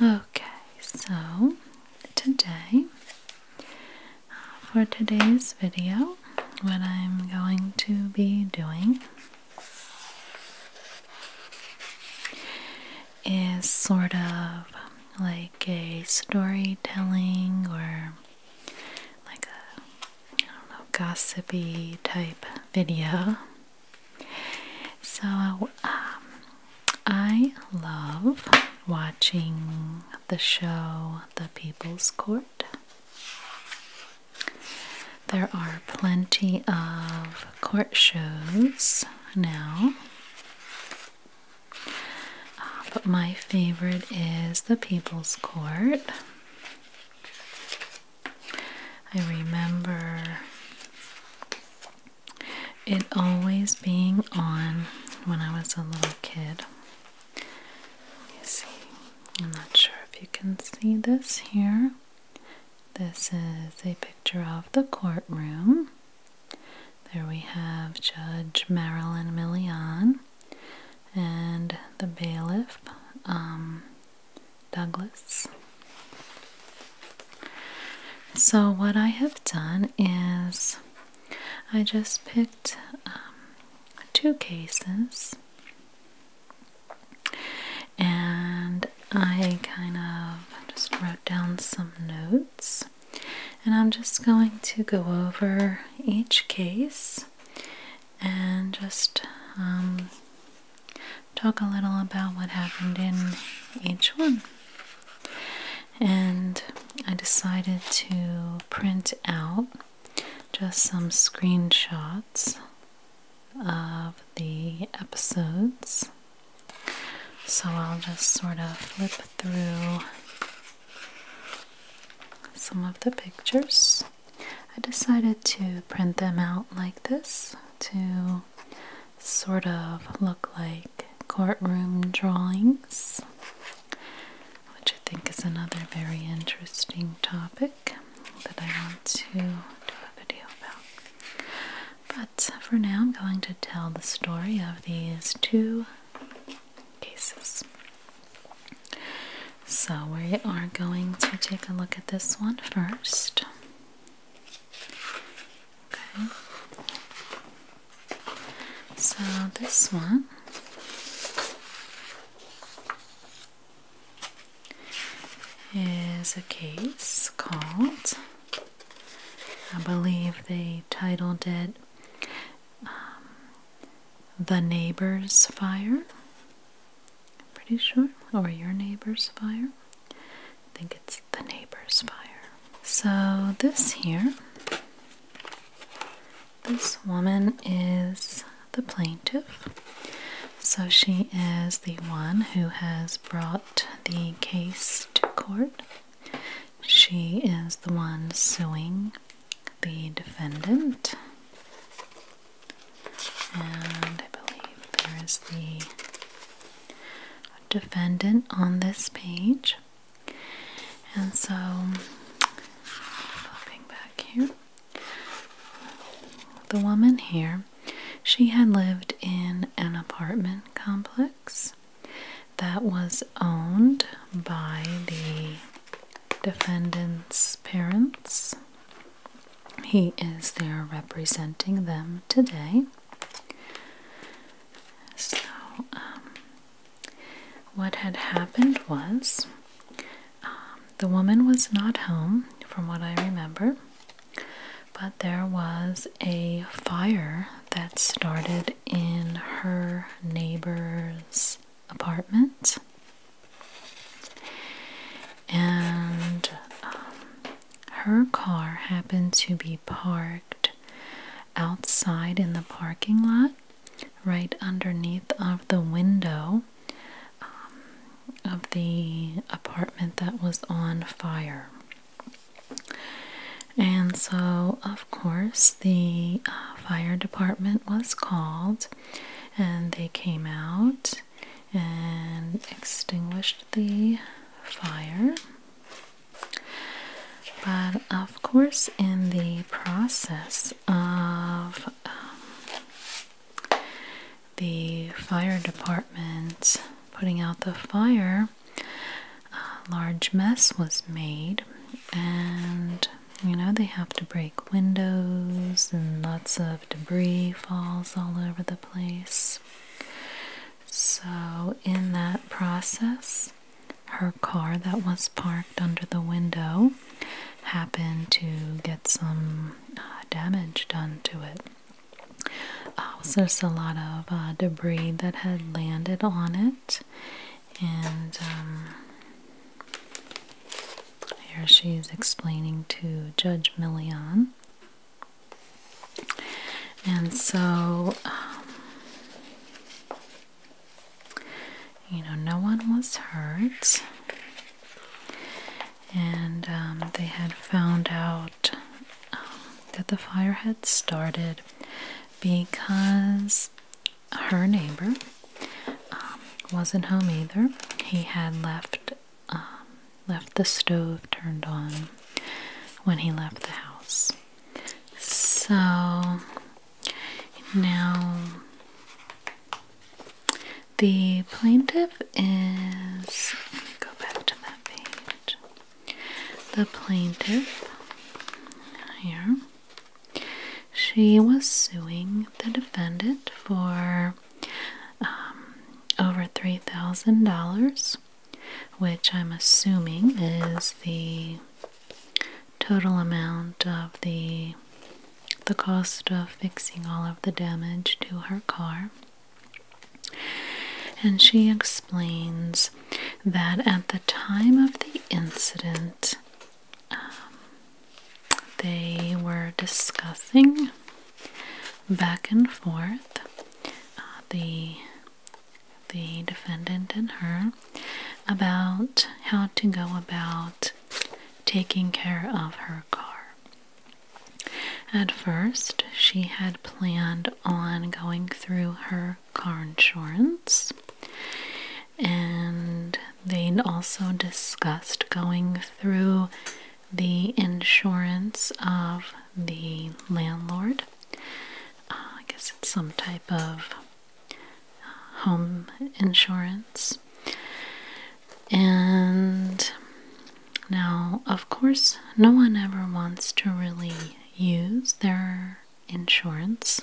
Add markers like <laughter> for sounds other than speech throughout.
Okay, so today, for today's video, what I'm going to be doing is sort of like a storytelling or like a I don't gossipy type video so um, I love watching the show The People's Court. There are plenty of court shows now. Uh, but my favorite is The People's Court. I remember it always being on when I was a little kid. You see, I'm not sure if you can see this here. This is a picture of the courtroom. There we have Judge Marilyn Millian and the bailiff. Um, Douglas. So, what I have done is I just picked um, two cases and I kind of just wrote down some notes. And I'm just going to go over each case and just um, talk a little about what happened in each one. And I decided to print out just some screenshots of the episodes. So I'll just sort of flip through some of the pictures. I decided to print them out like this to sort of look like courtroom drawings, which I think is another very interesting topic that I want to do a video about. But for now, I'm going to tell the story of these two cases. So, we are going to take a look at this one first. Okay. So this one is a case called, I believe they titled it um, The Neighbor's Fire. pretty sure, or Your Neighbor's Fire. I think it's the neighbor's fire. So, this here, this woman is the plaintiff. So, she is the one who has brought the case to court. She is the one suing the defendant. And I believe there is the defendant on this page. And so, flipping back here, the woman here, she had lived in an apartment complex that was owned by the defendant's parents. He is there representing them today. So, um, what had happened was um, the woman was not home, from what I remember, but there was a fire that started in her neighbor's apartment. And um, her car happened to be parked outside in the parking lot, right underneath of the window um, of the apartment that was on fire. And so, of course, the uh, fire department was called and they came out and extinguished the fire. But of course, in the process of um, the fire department putting out the fire, a large mess was made, and you know, they have to break windows, and lots of debris falls all over the place. So, in that process, her car that was parked under the window happened to get some uh, damage done to it. Uh, there's a lot of uh, debris that had landed on it, and um, here she is explaining to Judge Million and so, um, you know, no one was hurt. And um, they had found out um, that the fire had started because her neighbor wasn't home either. He had left um, left the stove turned on when he left the house. So now the plaintiff is. go back to that page. The plaintiff here. She was suing the defendant for um, over $3,000 which I'm assuming is the total amount of the the cost of fixing all of the damage to her car. And she explains that at the time of the incident, um, they were discussing back and forth. Uh, the the defendant and her about how to go about taking care of her car. At first, she had planned on going through her car insurance, and they also discussed going through the insurance of the landlord. Uh, I guess it's some type of uh, home insurance. And now, of course, no one ever wants to really use their insurance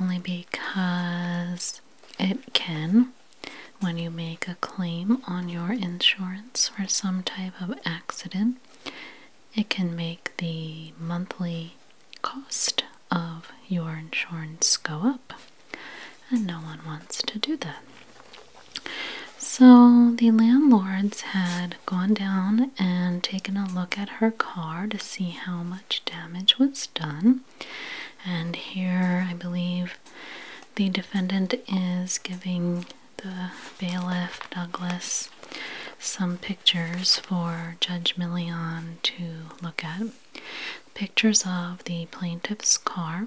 only because it can when you make a claim on your insurance for some type of accident, it can make the monthly cost of your insurance go up, and no one wants to do that. So the landlords had gone down and taken a look at her car to see how much damage was done. And here I believe the defendant is giving the bailiff Douglas some pictures for Judge Million to look at. Pictures of the plaintiff's car,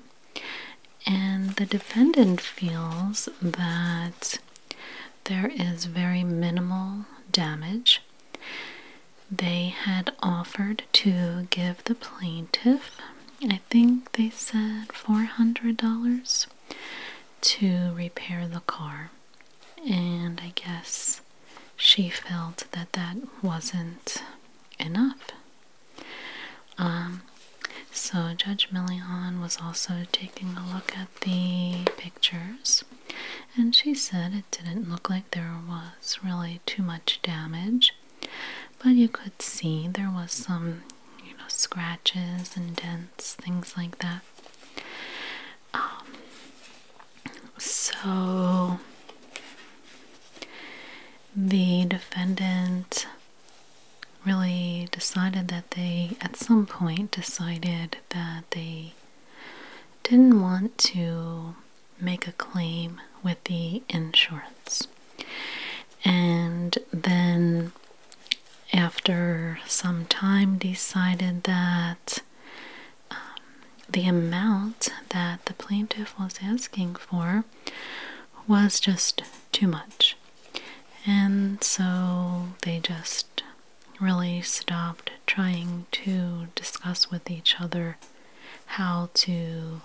and the defendant feels that there is very minimal damage. They had offered to give the plaintiff I think they said $400 to repair the car. And I guess she felt that that wasn't enough. Um, so Judge Million was also taking a look at the pictures, and she said it didn't look like there was really too much damage. But you could see there was some, you know, scratches and dents, things like that. Um, so the defendant really decided that they, at some point, decided that they didn't want to make a claim with the insurance and then after some time decided that um, the amount that the plaintiff was asking for was just too much and so they just really stopped trying to discuss with each other how to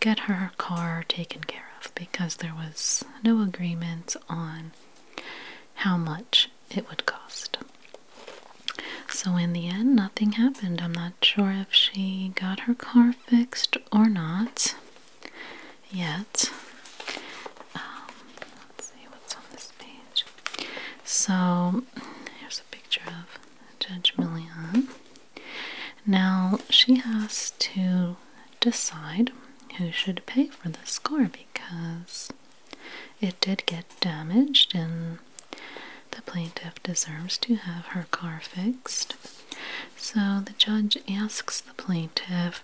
get her car taken care of because there was no agreement on how much it would cost. So, in the end, nothing happened. I'm not sure if she got her car fixed or not yet. Um, let's see what's on this page. So, here's a picture of Judge Million. Now she has to decide who should pay for the car because it did get damaged, and the plaintiff deserves to have her car fixed. So the judge asks the plaintiff,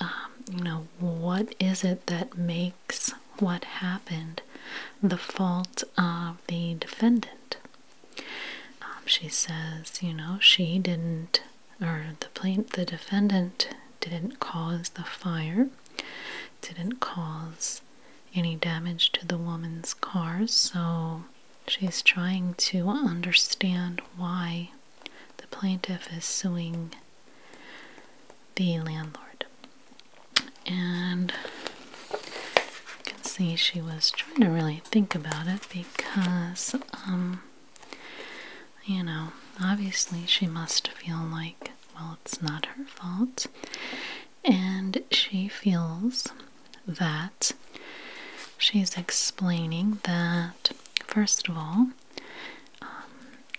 um, you know, what is it that makes what happened the fault of the defendant? Um, she says, you know, she didn't, or the plaint, the defendant didn't cause the fire, didn't cause any damage to the woman's cars. so she's trying to understand why the plaintiff is suing the landlord. And you can see she was trying to really think about it because, um, you know, obviously she must feel like, well, it's not her fault. And she feels that she's explaining that, first of all, um,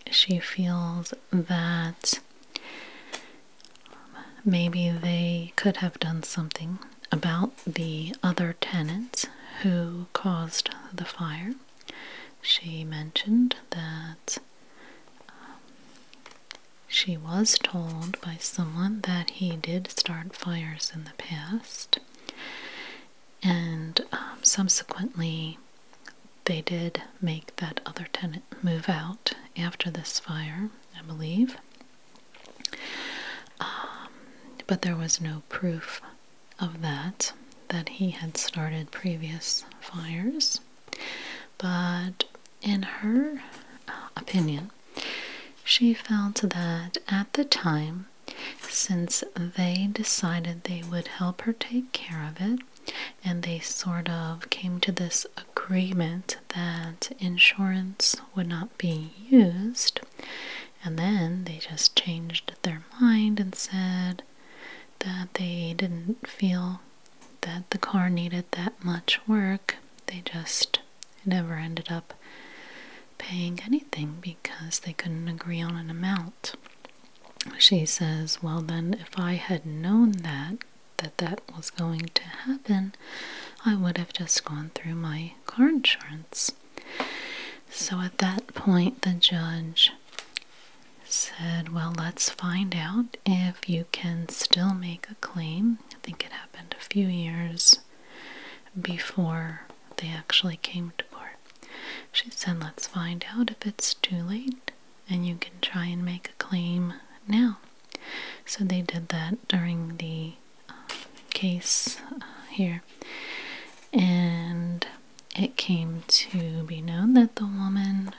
she feels that maybe they could have done something about the other tenants who caused the fire. She mentioned that um, she was told by someone that he did start fires in the past, and um, subsequently they did make that other tenant move out after this fire, I believe. Um, but there was no proof of that, that he had started previous fires. But in her uh, opinion, she felt that at the time, since they decided they would help her take care of it, and they sort of came to this agreement that insurance would not be used, and then they just changed their mind and said that they didn't feel that the car needed that much work. They just never ended up paying anything because they couldn't agree on an amount. She says, Well, then, if I had known that, that that was going to happen, I would have just gone through my car insurance. So at that point, the judge said, Well, let's find out if you can still make a claim. I think it happened a few years before they actually came to court. She said, Let's find out if it's too late and you can try and make a claim now. So they did that during the case uh, here, and it came to be known that the woman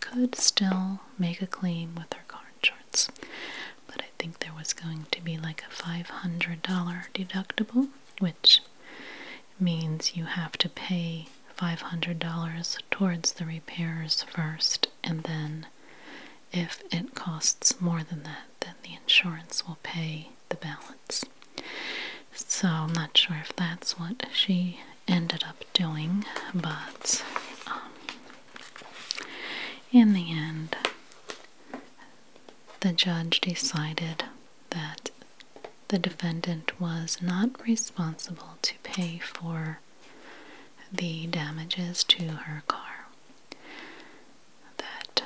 could still make a claim with her car insurance, but I think there was going to be like a $500 deductible, which means you have to pay $500 towards the repairs first and then if it costs more than that, then the insurance will pay the balance. So I'm not sure if that's what she ended up doing, but um, in the end, the judge decided that the defendant was not responsible to pay for the damages to her car that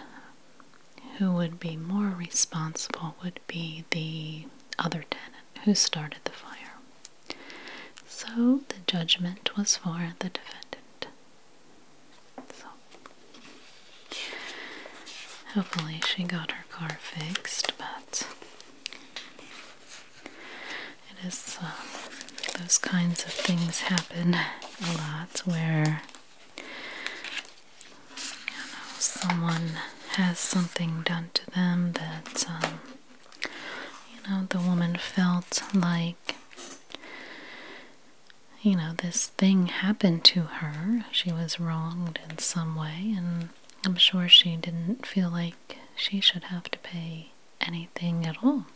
who would be more responsible would be the other tenant who started the fire. So the judgment was for the defendant. So hopefully she got her car fixed, but it is uh, those kinds of things happen a lot where you know, someone has something done to them that, um, you know, the woman felt like, you know, this thing happened to her. She was wronged in some way, and I'm sure she didn't feel like she should have to pay anything at all.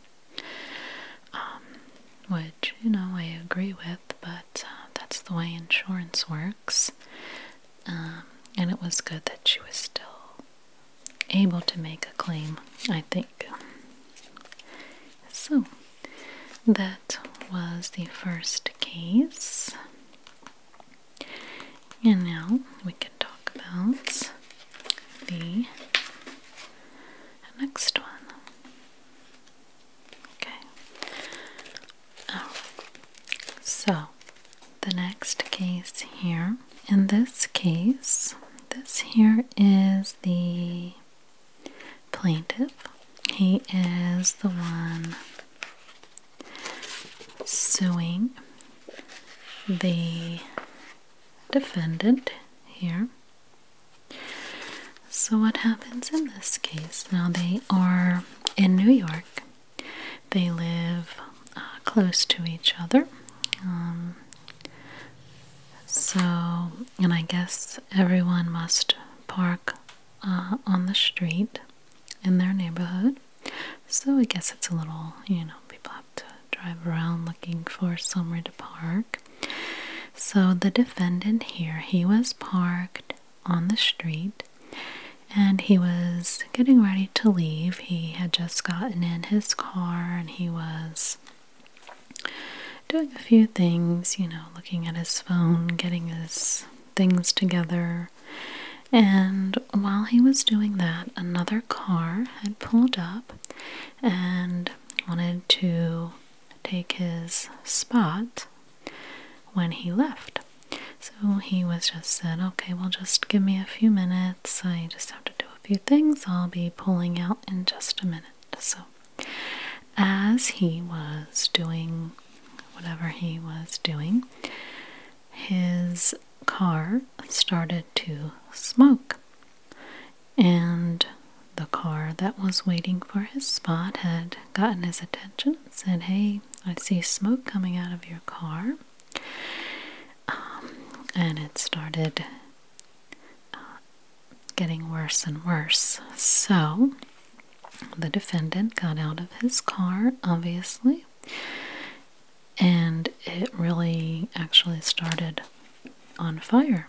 Um, which you know I agree with, but uh, that's the way insurance works. Um, and it was good that she was still able to make a claim, I think. So that was the first case. And now we can talk about the the next one. Okay. So, the next case here. In this case, this here is the plaintiff. He is the one suing the defendant here. So, what happens in this case? Now, they are in New York, they live uh, close to each other. Um, so, and I guess everyone must park uh, on the street in their neighborhood. So, I guess it's a little, you know, people have to drive around looking for somewhere to park. So the defendant here, he was parked on the street and he was getting ready to leave. He had just gotten in his car and he was doing a few things, you know, looking at his phone, getting his things together. And while he was doing that, another car had pulled up and wanted to take his spot when he left. So he was just said, okay, well, just give me a few minutes. I just have to do a few things. I'll be pulling out in just a minute. So, as he was doing whatever he was doing, his car started to smoke. And the car that was waiting for his spot had gotten his attention and said, Hey, I see smoke coming out of your car. Um, and it started uh, getting worse and worse. So the defendant got out of his car, obviously, and it really actually started on fire.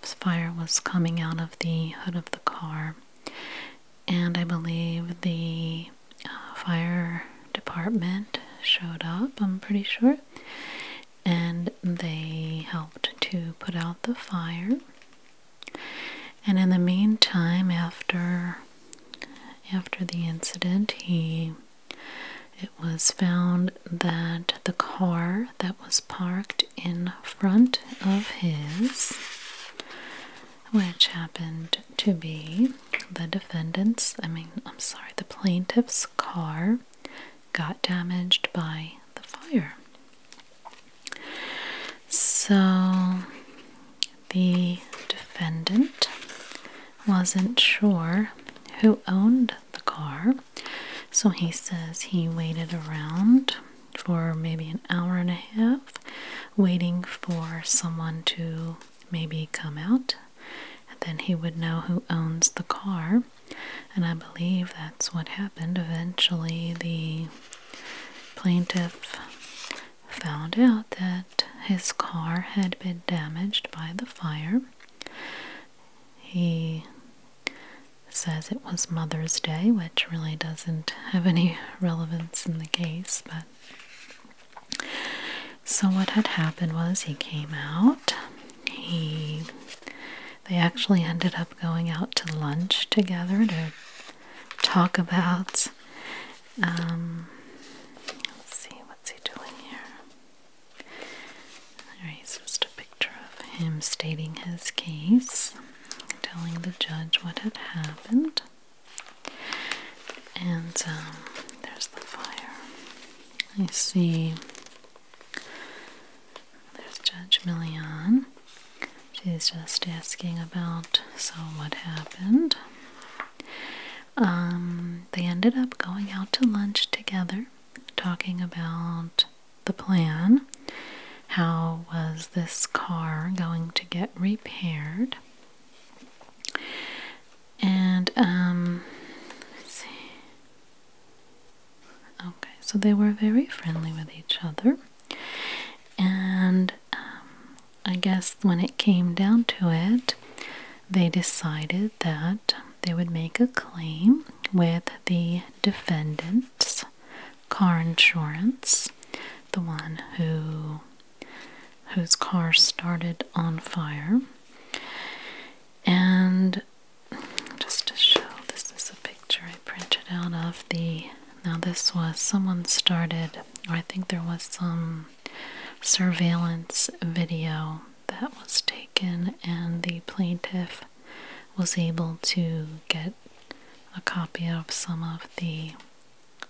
The fire was coming out of the hood of the car, and I believe the uh, fire department showed up, I'm pretty sure, and they helped to put out the fire. And in the meantime, after after the incident, he it was found that the car that was parked in front of his, which happened to be the defendant's, I mean, I'm sorry, the plaintiff's car, got damaged by the fire. So the defendant wasn't sure who owned the car. So he says he waited around for maybe an hour and a half, waiting for someone to maybe come out, and then he would know who owns the car. And I believe that's what happened. Eventually, the plaintiff found out that his car had been damaged by the fire. He says it was Mother's Day, which really doesn't have any <laughs> relevance in the case, but. So what had happened was he came out. He they actually ended up going out to lunch together to talk about um, let's see what's he doing here. Alright, so just a picture of him stating his case, telling the judge what had happened. And um, there's the fire. I see there's Judge Millian. She's just asking about so what happened. Um, they ended up going out to lunch together talking about the plan. How was this car going to get repaired? And, um, Okay, so they were very friendly with each other. And um, I guess when it came down to it, they decided that they would make a claim with the defendant's car insurance, the one who whose car started on fire. And just to show, this is a picture I printed out of the. Now, this was someone started, or I think there was some surveillance video that was taken, and the plaintiff was able to get a copy of some of the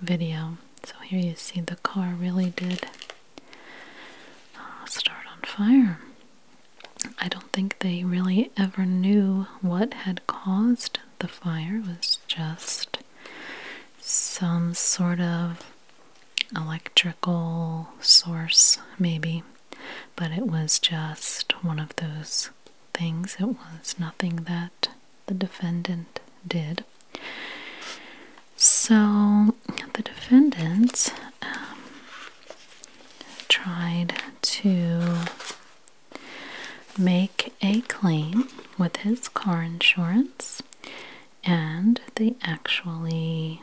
video. So here you see the car really did uh, start on fire. I don't think they really ever knew what had caused the fire. It was just some sort of electrical source, maybe but it was just one of those things. It was nothing that the defendant did. So the defendant um, tried to make a claim with his car insurance, and they actually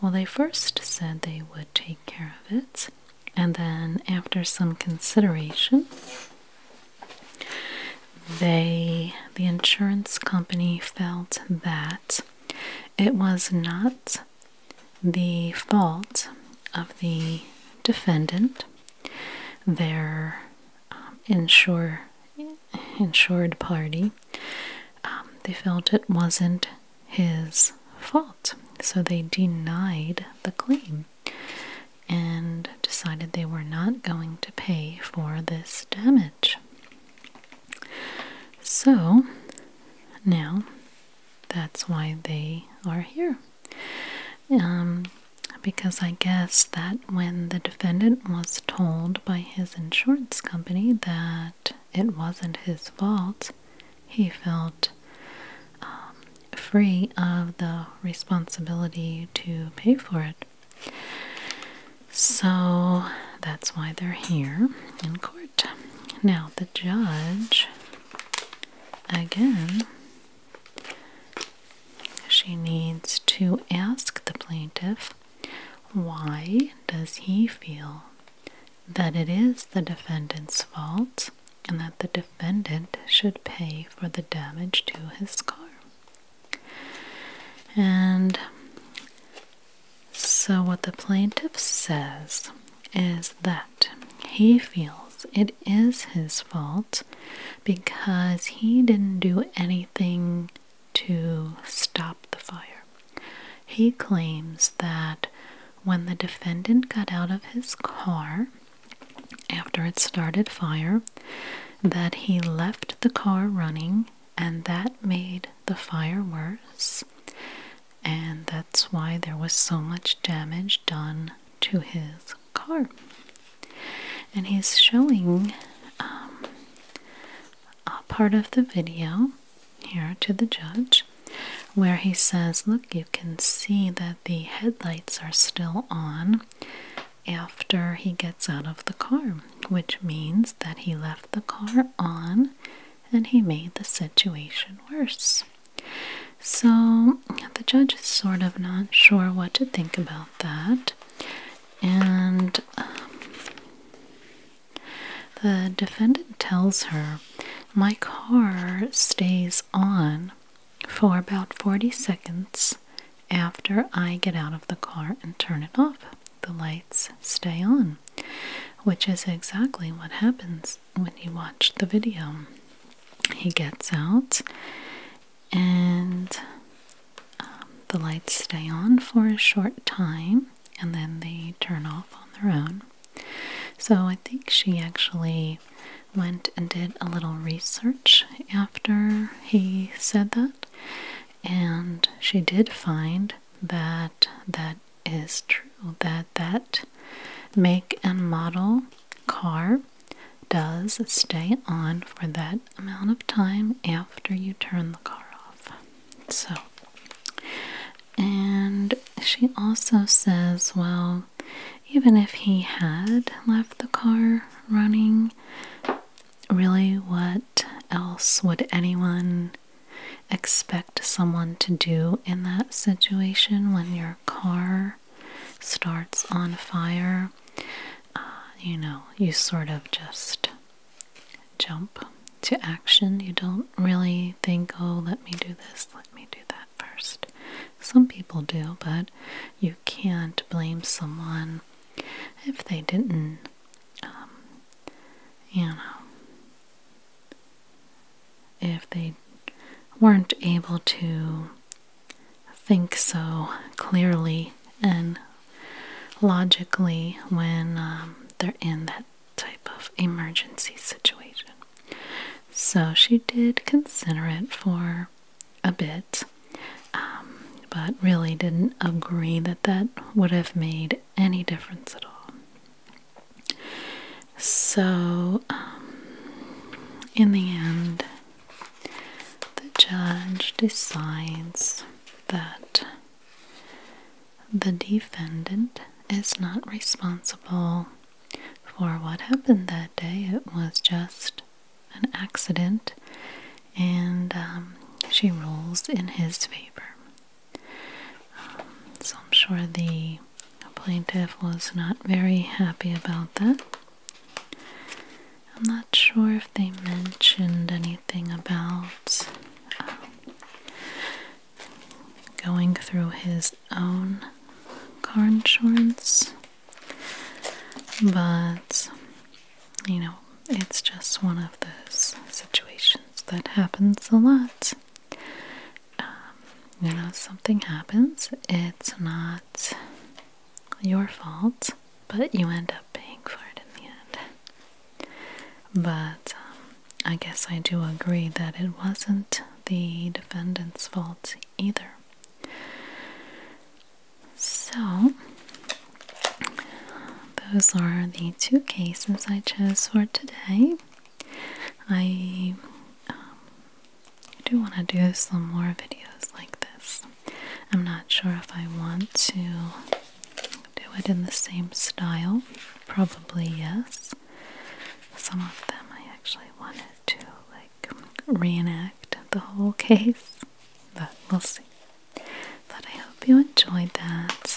well, they first said they would take care of it, and then after some consideration, they the insurance company felt that it was not the fault of the defendant, their um, insured party. Um, they felt it wasn't his fault. So they denied the claim and decided they were not going to pay for this damage. So now that's why they are here. Um, because I guess that when the defendant was told by his insurance company that it wasn't his fault. He felt um, free of the responsibility to pay for it. So that's why they're here in court. Now, the judge, again, she needs to ask the plaintiff why does he feel that it is the defendant's fault and that the defendant should pay for the damage to his car. And so, what the plaintiff says is that he feels it is his fault because he didn't do anything to stop the fire. He claims that when the defendant got out of his car after it started fire, that he left the car running and that made the fire worse. And that's why there was so much damage done to his car. And he's showing um, a part of the video here to the judge where he says, Look, you can see that the headlights are still on after he gets out of the car, which means that he left the car on and he made the situation worse. So the judge is sort of not sure what to think about that. And um, the defendant tells her, My car stays on for about 40 seconds after I get out of the car and turn it off. The lights stay on, which is exactly what happens when you watch the video. He gets out and um, the lights stay on for a short time and then they turn off on their own. So I think she actually went and did a little research after he said that, and she did find that that is true that that make and model car does stay on for that amount of time after you turn the car off. So and she also says, well, even if he had left the car running, really, what else would anyone expect someone to do in that situation when your car starts on fire? Uh, you know, you sort of just jump to action. You don't really think, oh, let me do this, let me do that first. Some people do, but you can't blame someone if they didn't, um, you know, if they weren't able to think so clearly and logically when um, they're in that type of emergency situation. So she did consider it for a bit, um, but really didn't agree that that would have made any difference at all. So, um, in the end, the judge decides that the defendant is not responsible for what happened that day. It was just an accident, and um, she rules in his favor. Um, so I'm sure the plaintiff was not very happy about that. I'm not sure if they mentioned anything about um, going through his own car insurance, but you know, it's just one of those situations that happens a lot. Um, you know, something happens, it's not your fault, but you end up paying for it in the end. But um, I guess I do agree that it wasn't the defendant's fault either. So, those are the two cases I chose for today. I um, do want to do some more videos like this. I'm not sure if I want to do it in the same style? Probably yes. Some of them I actually wanted to like reenact the whole <laughs> case, but we'll see. But I hope you enjoyed that.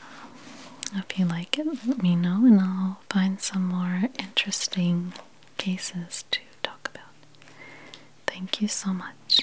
Um, if you like it, let me know, and I'll find some more interesting cases to talk about. Thank you so much.